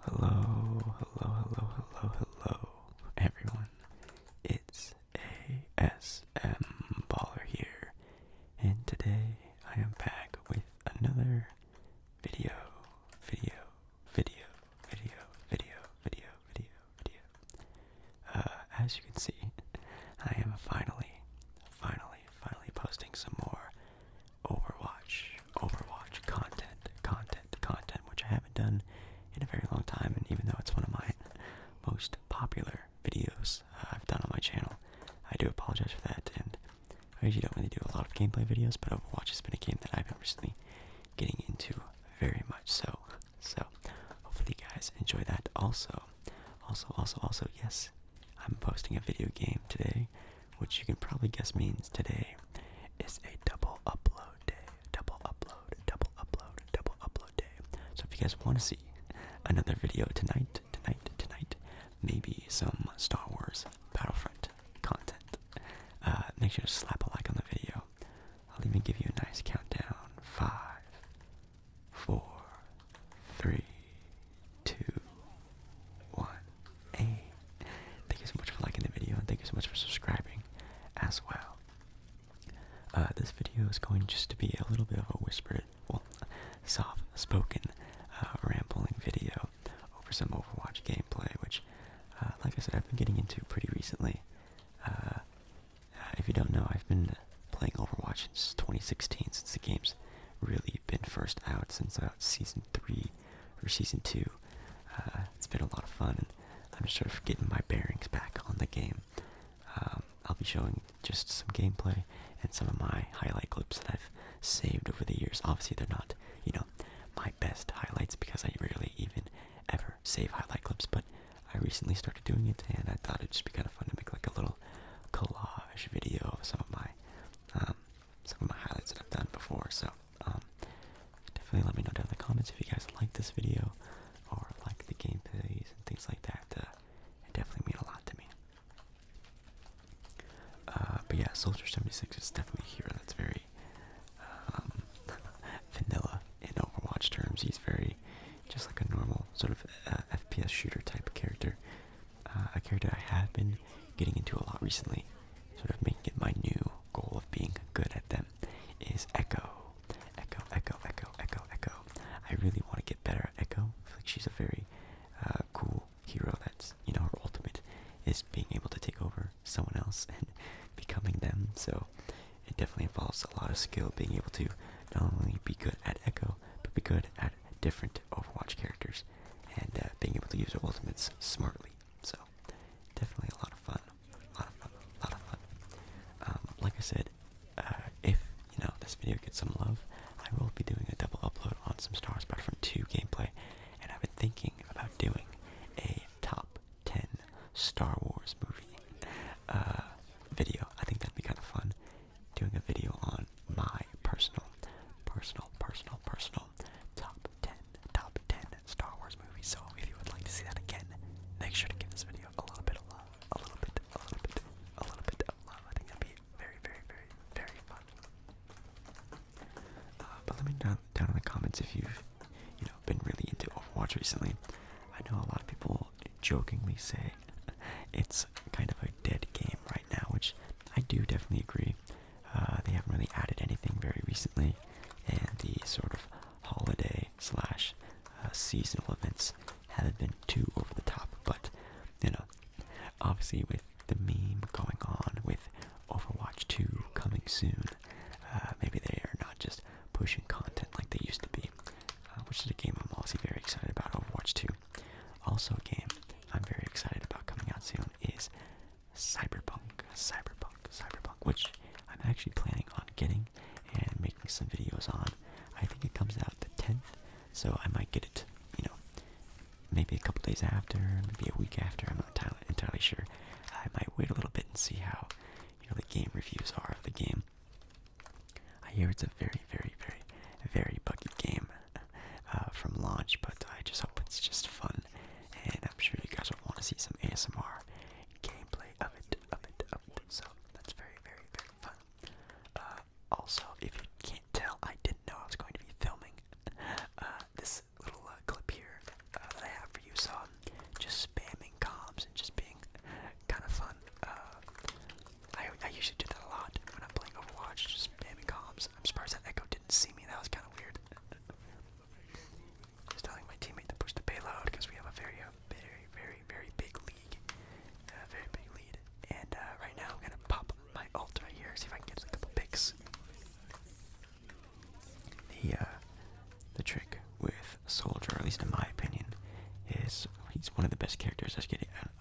Hello, hello, hello, hello, hello, everyone. It's ASM Baller here, and today I am back with another video, video, video, video, video, video, video, video. Uh, as you can see, I am finally, finally, finally posting some more Overwatch, Overwatch content, content, content, which I haven't done in a very long time, and even though it's one of my most popular videos uh, I've done on my channel, I do apologize for that. And I usually don't really do a lot of gameplay videos, but Overwatch has been a game that I've been recently getting into very much so. So hopefully you guys enjoy that. Also, also, also, also, yes, I'm posting a video game today which you can probably guess means today, is a double upload day. Double upload, double upload, double upload day. So if you guys want to see another video tonight, tonight, tonight, maybe some Star Wars Battlefront content, uh, make sure to slap a like on the video. I'll even give you a nice countdown. Five, four, three, two, what? Hey, thank you so much for liking the video and thank you so much for subscribing as well. Uh, this video is going just to be a little bit of a whispered, well, soft-spoken, uh, rambling video over some Overwatch gameplay, which, uh, like I said, I've been getting into pretty recently. if you don't know, I've been playing Overwatch since 2016, since the game's really been first out since uh, season three or season two. Uh, it's been a lot of fun, and I'm just sort of getting my bearings back on the game. Um, I'll be showing just some gameplay and some of my highlight clips that I've saved over the years. Obviously, they're not, you know, my best highlights because I rarely even ever save highlight clips, but I recently started doing it, and I thought it'd just be kind of fun to make like a little collage video of some of my um, some of my highlights that I've done before. So um, definitely let me know down in the comments if you guys like this video or like the gameplays and things like that. Uh, it definitely mean a lot to me. Uh, but yeah, Soldier 76 is definitely here. That's very um, vanilla in Overwatch terms. He's very just like a normal sort of uh, FPS shooter type character. Uh, a character I have been getting into a lot recently, sort of making it my new goal of being good at them, is Echo. Echo, Echo, Echo, Echo, Echo. I really want to get better at Echo. I feel like she's a very uh, cool hero that's, you know, her ultimate is being able to take over someone else and becoming them. So it definitely involves a lot of skill being able to not only be good at Echo, but be good at different Overwatch characters and uh, being able to use their ultimates smartly. So, definitely a lot of fun. A lot of fun. A lot of fun. Um, like I said, uh, if you know this video gets some love, I will be doing a double upload on some Star Battlefront 2 gameplay, and I've been thinking about doing a top 10 Star Wars movie uh, video. I think that'd be kind of fun. Doing a video on on my personal, personal, personal, personal top 10, top 10 Star Wars movies. So if you would like to see that again, make sure to give this video a little bit of love, a little bit, a little bit, a little bit of love. I think that'd be very, very, very, very fun. Uh, but let me know down in the comments if you've, you know, been really into Overwatch recently. I know a lot of people jokingly say it's kind of a dead game right now, which I do definitely agree. Uh, they haven't really added anything very recently, and the sort of holiday slash uh, seasonal events haven't been too over the top. But you know, obviously with the meme going on with Overwatch 2 coming soon, uh, maybe they are not just pushing content like they used to be, which is a game I'm also very excited about. Overwatch 2, also a game I'm very excited about coming out soon is Cyberpunk, Cyberpunk, Cyberpunk, which I'm actually planning on getting and making some videos on. I think it comes out the 10th, so I might get it, you know, maybe a couple days after, maybe a week after. I'm not entirely, sure. I might wait a little bit and see how, you know, the game reviews are of the game. I hear it's a very, very, very, very buggy game. Uh, from launch, but I just hope it's just fun, and I'm sure you guys will want to see some ASMR gameplay of it, So that's very, very, very fun. Uh, also, if you can't tell, I didn't know I was going to be filming uh, this little clip here that I have for you. So I'm just spamming comms and just being kind of fun. I, I usually do that a lot when I'm playing Overwatch, just spamming comms. I'm surprised that Echo didn't see me. That was kind of weird. Just telling my teammate to push the payload because we have a very, uh, very, very, very big league. Uh, very big lead. And uh, right now I'm gonna pop my ult right here. See if I can get a couple picks. The uh, the trick with Soldier, at least in my opinion, is he's one of the best characters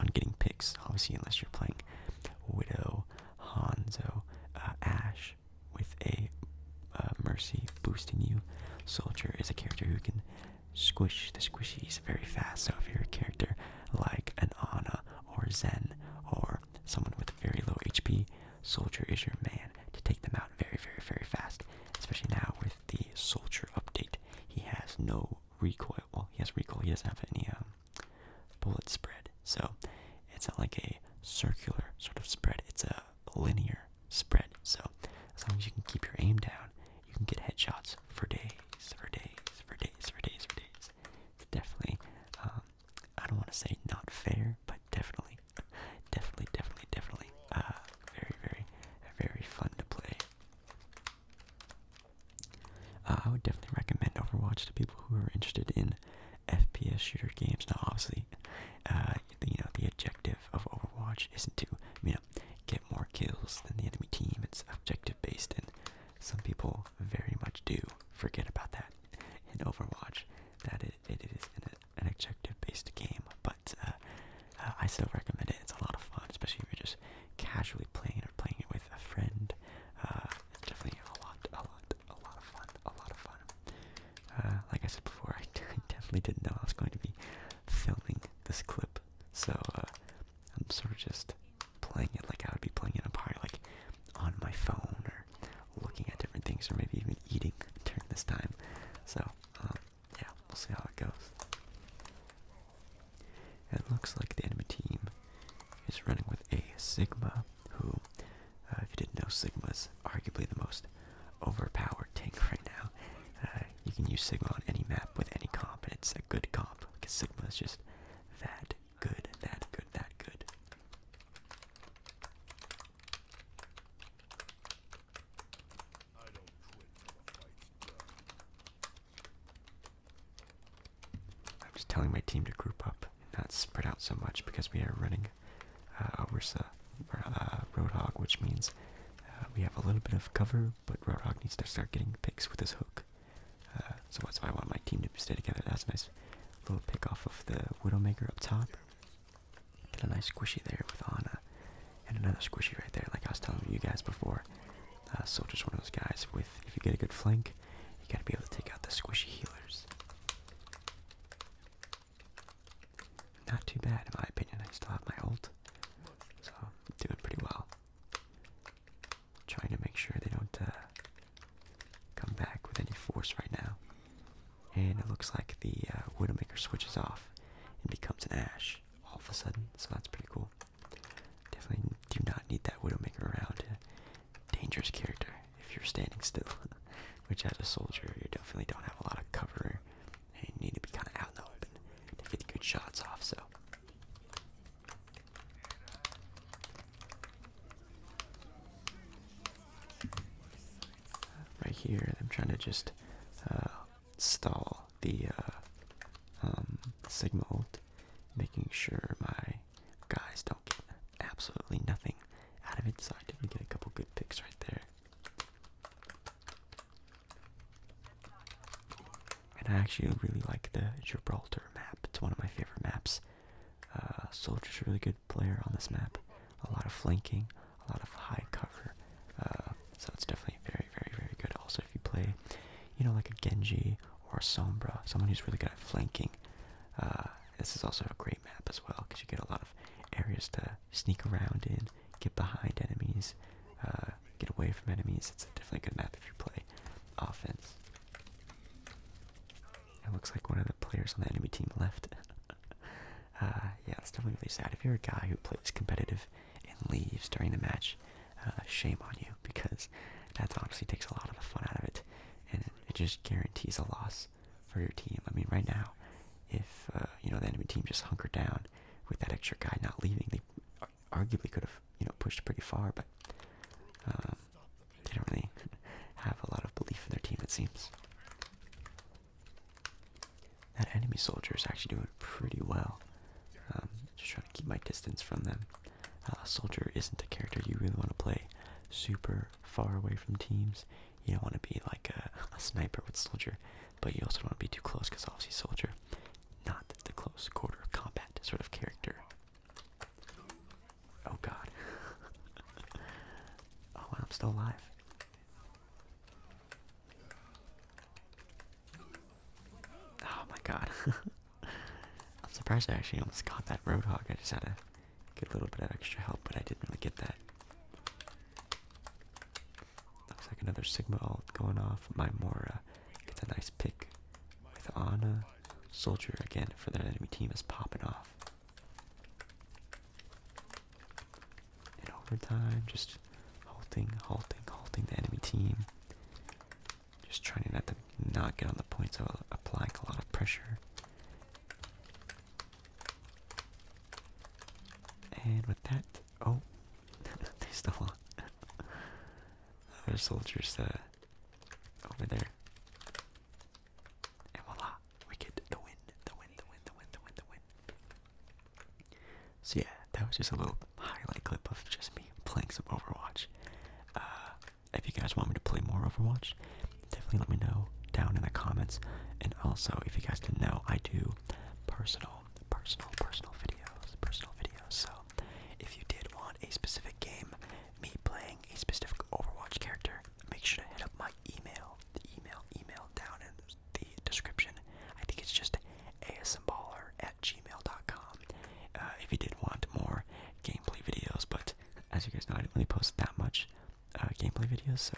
on getting picks. Obviously, unless you're playing Widow Hanzo, uh, Ash with a uh, Mercy boosting you. Soldier is a character who can squish the squishies very fast. So if you're a character like an Ana or Zen or someone with very low HP, Soldier is your man to take them out very, very, very fast. Especially now with the Soldier update, he has no recoil. Well, he has recoil. He doesn't have any um, bullet spread. So it's not like a circular sort of spread, it's a linear spread. So as long as you can keep your aim down, you can get headshots for days, for days, for days, for days, for days. It's definitely, um, I don't want to say not fair, but definitely, definitely, definitely, definitely, uh, very, very, very fun to play. Uh, I would definitely recommend Overwatch to people who are interested in FPS shooter games. Now, obviously, uh, the, you know the objective of Overwatch isn't to you know get more kills than the enemy team. It's objective based, and some people very much do forget about that in Overwatch. That it is an, objective based game, but uh, I still recommend it. It's a lot of fun, especially if you're just casually playing or playing it with a friend. It's definitely a lot, a lot, a lot of fun, a lot of fun. Uh, like I said before, I definitely didn't know I was going to be filming this clip, so uh, I'm sort of just playing it like I would be playing it up high, like on my phone or looking at different things, or maybe even eating during this time. So, um, yeah, we'll see how it goes. It looks like the enemy team is running with a Sigma, who, uh, if you didn't know, Sigma is arguably the most overpowered tank right now. Uh, you can use Sigma on any map with any comp, and it's a good comp because Sigma is just that good, that good, that good. I'm just telling my team to group up not spread out so much because we are running uh, over Orsa, or, uh, Roadhog, which means uh, we have a little bit of cover, but Roadhog needs to start getting picks with his hook. Uh, so that's why I want my team to stay together. That's a nice little pick off of the Widowmaker up top. Get a nice squishy there with Ana, and another squishy right there, like I was telling you guys before. Soldier's one of those guys with, if you get a good flank, you gotta be able to take out the squishy healers. Not too bad, in my opinion. I still have my ult, so doing pretty well. Trying to make sure they don't uh, come back with any force right now. And it looks like the uh, Widowmaker switches off and becomes an Ash all of a sudden, so that's pretty cool. Definitely do not need that Widowmaker around. Dangerous character if you're standing still. Which, as a soldier, you definitely don't have a lot of cover, and you need to be kind of out in the open to get good shots off. So. Right here, I'm trying to just uh, stall the uh, um, signal, making sure my Guys, don't get absolutely nothing out of it, so I did get a couple good picks right there. And I actually really like the Gibraltar map. It's one of my favorite maps. Uh, Soldier's a really good player on this map. A lot of flanking, a lot of high cover. Uh, so it's definitely very, very, very good. Also, if you play, you know, like a Genji or a Sombra, someone who's really good at flanking, uh, this is also a great map as well because you get a lot of areas to sneak around in, get behind enemies, uh, get away from enemies. It's definitely a good map if you play offense. It looks like one of the players on the enemy team left. Uh, yeah, it's definitely really sad. If you're a guy who plays competitive and leaves during the match, uh, shame on you because that honestly takes a lot of the fun out of it, and it, just guarantees a loss for your team. I mean, right now, if uh, you know the enemy team just hunkered down with that extra guy not leaving, they arguably could have you know pushed pretty far, but um, they don't really have a lot of belief in their team. It seems that enemy soldier is actually doing pretty well. Just um, trying keep my distance from them. Uh, Soldier isn't a character you really want to play super far away from teams. You don't want to be like a, sniper with Soldier, but you also don't want to be too close because obviously Soldier, not the close quarter combat sort of character. Oh god. oh, I'm still alive. Oh my god. I'm surprised I actually almost got that Roadhog. I just had to get a little bit of extra help, but I didn't really get that. Looks like another Sigma ult going off. My Mora gets a nice pick with Ana. Soldier again for their enemy team is popping off. In overtime, just halting, halting, halting the enemy team. Just trying not to not get on the points of applying a lot of pressure. And with that, oh, there's still on. Other soldiers uh, over there. And voila, we the win, the win, the win, the win, the win, the win. So yeah, that was just a little highlight clip of just me playing some Overwatch. Uh, if you guys want me to play more Overwatch, definitely let me know down in the comments. And also, if you guys didn't know, I do personal, personal, personal videos, personal videos. So, if you did want a specific game, me playing a specific Overwatch character, make sure to hit up my email, the email, email down in the description. I think it's just asmballer at gmail.com uh, if you did want more gameplay videos, but as you guys know, I do not really post that much uh, gameplay videos, so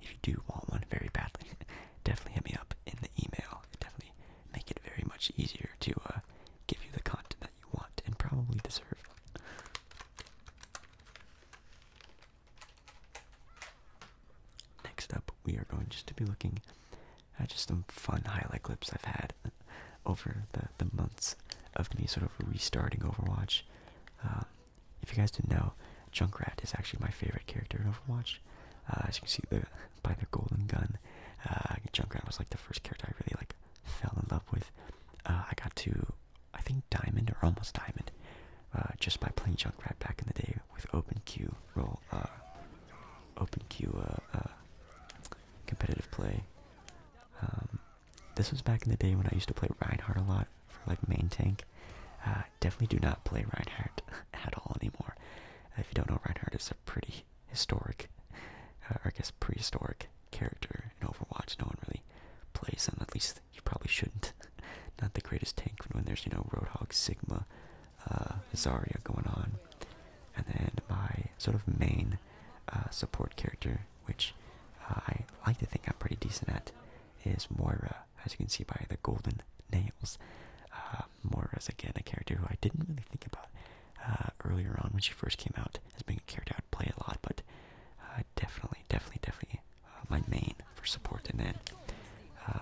if you do want one very badly, definitely hit me up in the email. definitely make it very much easier to uh, give you the content that you want and probably deserve. Next up, we are going just to be looking uh, just some fun highlight clips I've had over the, the months of me sort of restarting Overwatch. Um, if you guys didn't know, Junkrat is actually my favorite character in Overwatch. Uh, as you can see the, by the golden gun, uh, Junkrat was like the first character I really like fell in love with. Uh, I got to, I think Diamond or almost Diamond, just by playing Junkrat back in the day with Open Q roll, uh, competitive play. Um, this was back in the day when I used to play Reinhardt a lot for like main tank. Uh, definitely do not play Reinhardt at all anymore. If you don't know, Reinhardt is a pretty historic, uh, or I guess prehistoric character in Overwatch. No one really plays him, at least you probably shouldn't. not the greatest tank when there's, you know, Roadhog, Sigma, uh, Azaria going on, and then my sort of main uh, support character, which uh, I like to think I'm pretty decent at, is Moira. As you can see by the golden nails, Moira is again a character who I didn't really think about earlier on when she first came out as being a character I'd play a lot, but definitely, definitely, definitely my main for support, and then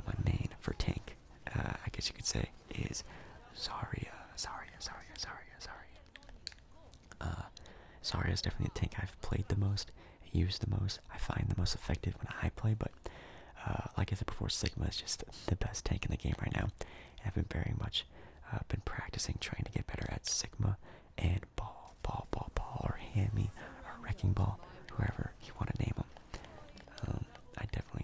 my main for tank. I guess you could say is Zarya. Zarya, Zarya, Zarya, Zarya. Uh, Zarya is definitely the tank I've played the most, used the most, I find the most effective when I play, but uh, like I said before, Sigma is just the best tank in the game right now. And I've been very much uh, been practicing trying to get better at Sigma and Ball, Ball, Ball, Ball, or Hammy, or Wrecking Ball, whoever you want to name them. Um, I definitely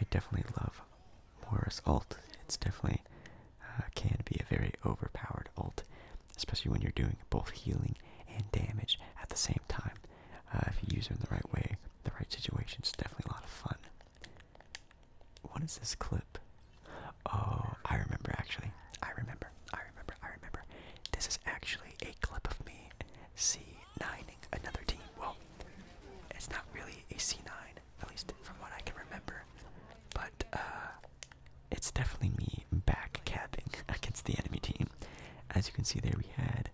I definitely love Morris ult. It's definitely uh, can be a very overpowered ult, especially when you're doing both healing and damage at the same time. Uh, if you use it in the right way, the right situation, it's definitely a lot of fun. What is this clip? Oh, I remember actually. I remember. I remember. I remember. This is actually a clip of me C9ing another team. Well, it's not really a C9, at least from what I can remember. But uh, it's definitely me back capping against the enemy team. As you can see there, we had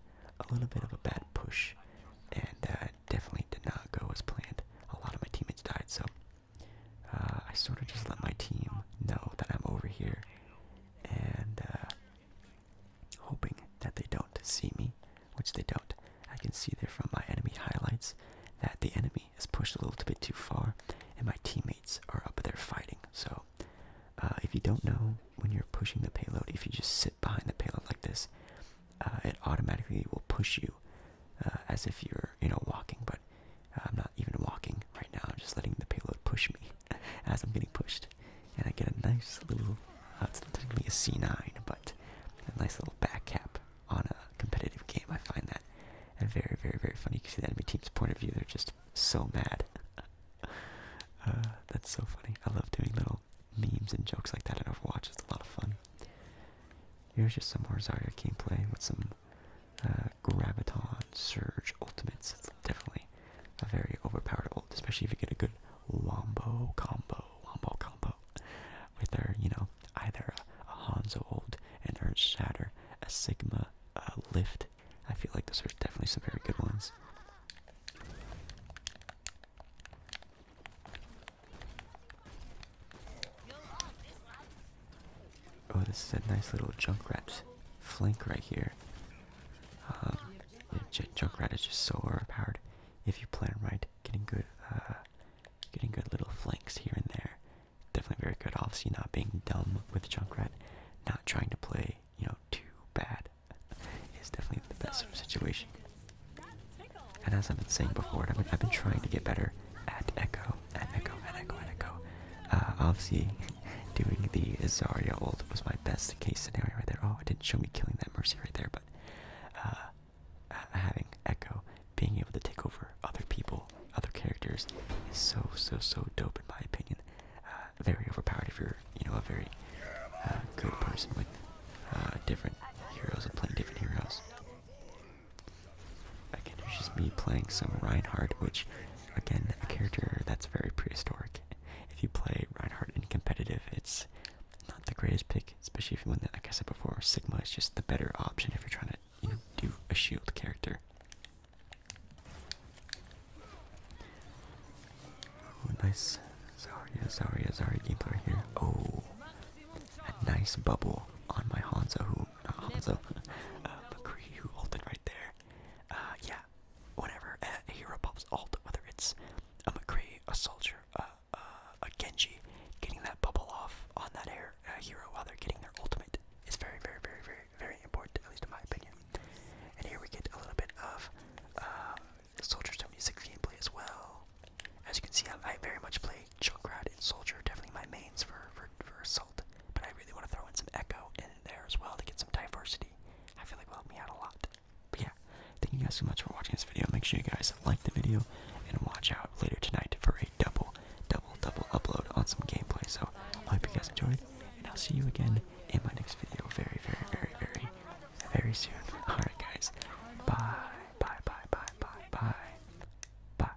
a little bit of a bad push, and that definitely did not go as planned. A lot of my teammates died, so uh, I sort of just let my team know that I'm over here, and uh, hoping that they don't see me, which they don't. I can see there from my enemy highlights that the enemy has pushed a little bit too far, and my teammates are up there fighting. So, uh, if you don't know when you're pushing the payload, if you just sit behind the payload like this, uh, it automatically will push you uh, as if you're, you know, walking. But I'm not even walking right now. I'm just letting the payload push me as I'm getting pushed and I get a nice little, its gonna be a C9, but a nice little back cap on a competitive game. I find that very, very, very funny. You can see the enemy team's point of view. They're just so mad. Uh, that's so funny. I love doing little memes and jokes like that in Overwatch. It's a lot of fun. Here's just some more Zarya gameplay with some uh, Graviton Surge Ultimates. definitely a very overpowered old, especially if you get a good wombo combo, wombo combo, with her, you know, either a, Hanzo old and her shatter, a Sigma lift. I feel like those are definitely some very good ones. Oh, this is a nice little Junkrat flank right here. Um, Junkrat is just so overpowered if you plan right, getting good, uh, getting good little flanks here and there. Definitely very good. Obviously, not being dumb with Junkrat, not trying to play, you know, too bad is definitely the best situation. And as I've been saying before, I've been, I've been trying to get better at Echo, at Echo, at Echo, at Echo. Uh, obviously, doing the Azaria ult was my best best case scenario right there. Oh, it didn't show me killing that Mercy right there, but uh, uh, having Echo being able to take over other people, other characters, is so so so dope in my opinion. Uh, very overpowered if you're you know a very uh, good person with uh, different heroes and playing different heroes. Again, it's just me playing some Reinhardt, which again a character that's very prehistoric. If you play Reinhardt in competitive, it's not the greatest pick, especially if you want Like I said before, Sigma is just the better option if you're trying to you know, do a shield character. Oh, nice Zarya, Zarya, Zarya gameplay right here. Oh, a nice bubble on my Hanzo, who, not Hanzo, uh, McCree who ulted right there. Uh, yeah, whenever a hero pops alt, whether it's a McCree, a soldier, a, Genji, getting that bubble off on that air, uh, hero while they're getting their ultimate is very, very, very, very, very important, at least in my opinion. And here we get a little bit of uh, Soldier 76 gameplay as well. As you can see, I, very much play Chilkrad and Soldier, definitely my mains for, for, for Assault, but I really want to throw in some Echo in there as well to get some diversity. I feel like will help me out a lot. But yeah, thank you guys so much for watching this video. Make sure you guys like the video and watch out later tonight for a double, double, double upload on some gameplay. So I hope you guys enjoyed, and I'll see you again in my next video very, very, very, very, very soon. Alright guys, bye, bye, bye, bye, bye, bye, bye.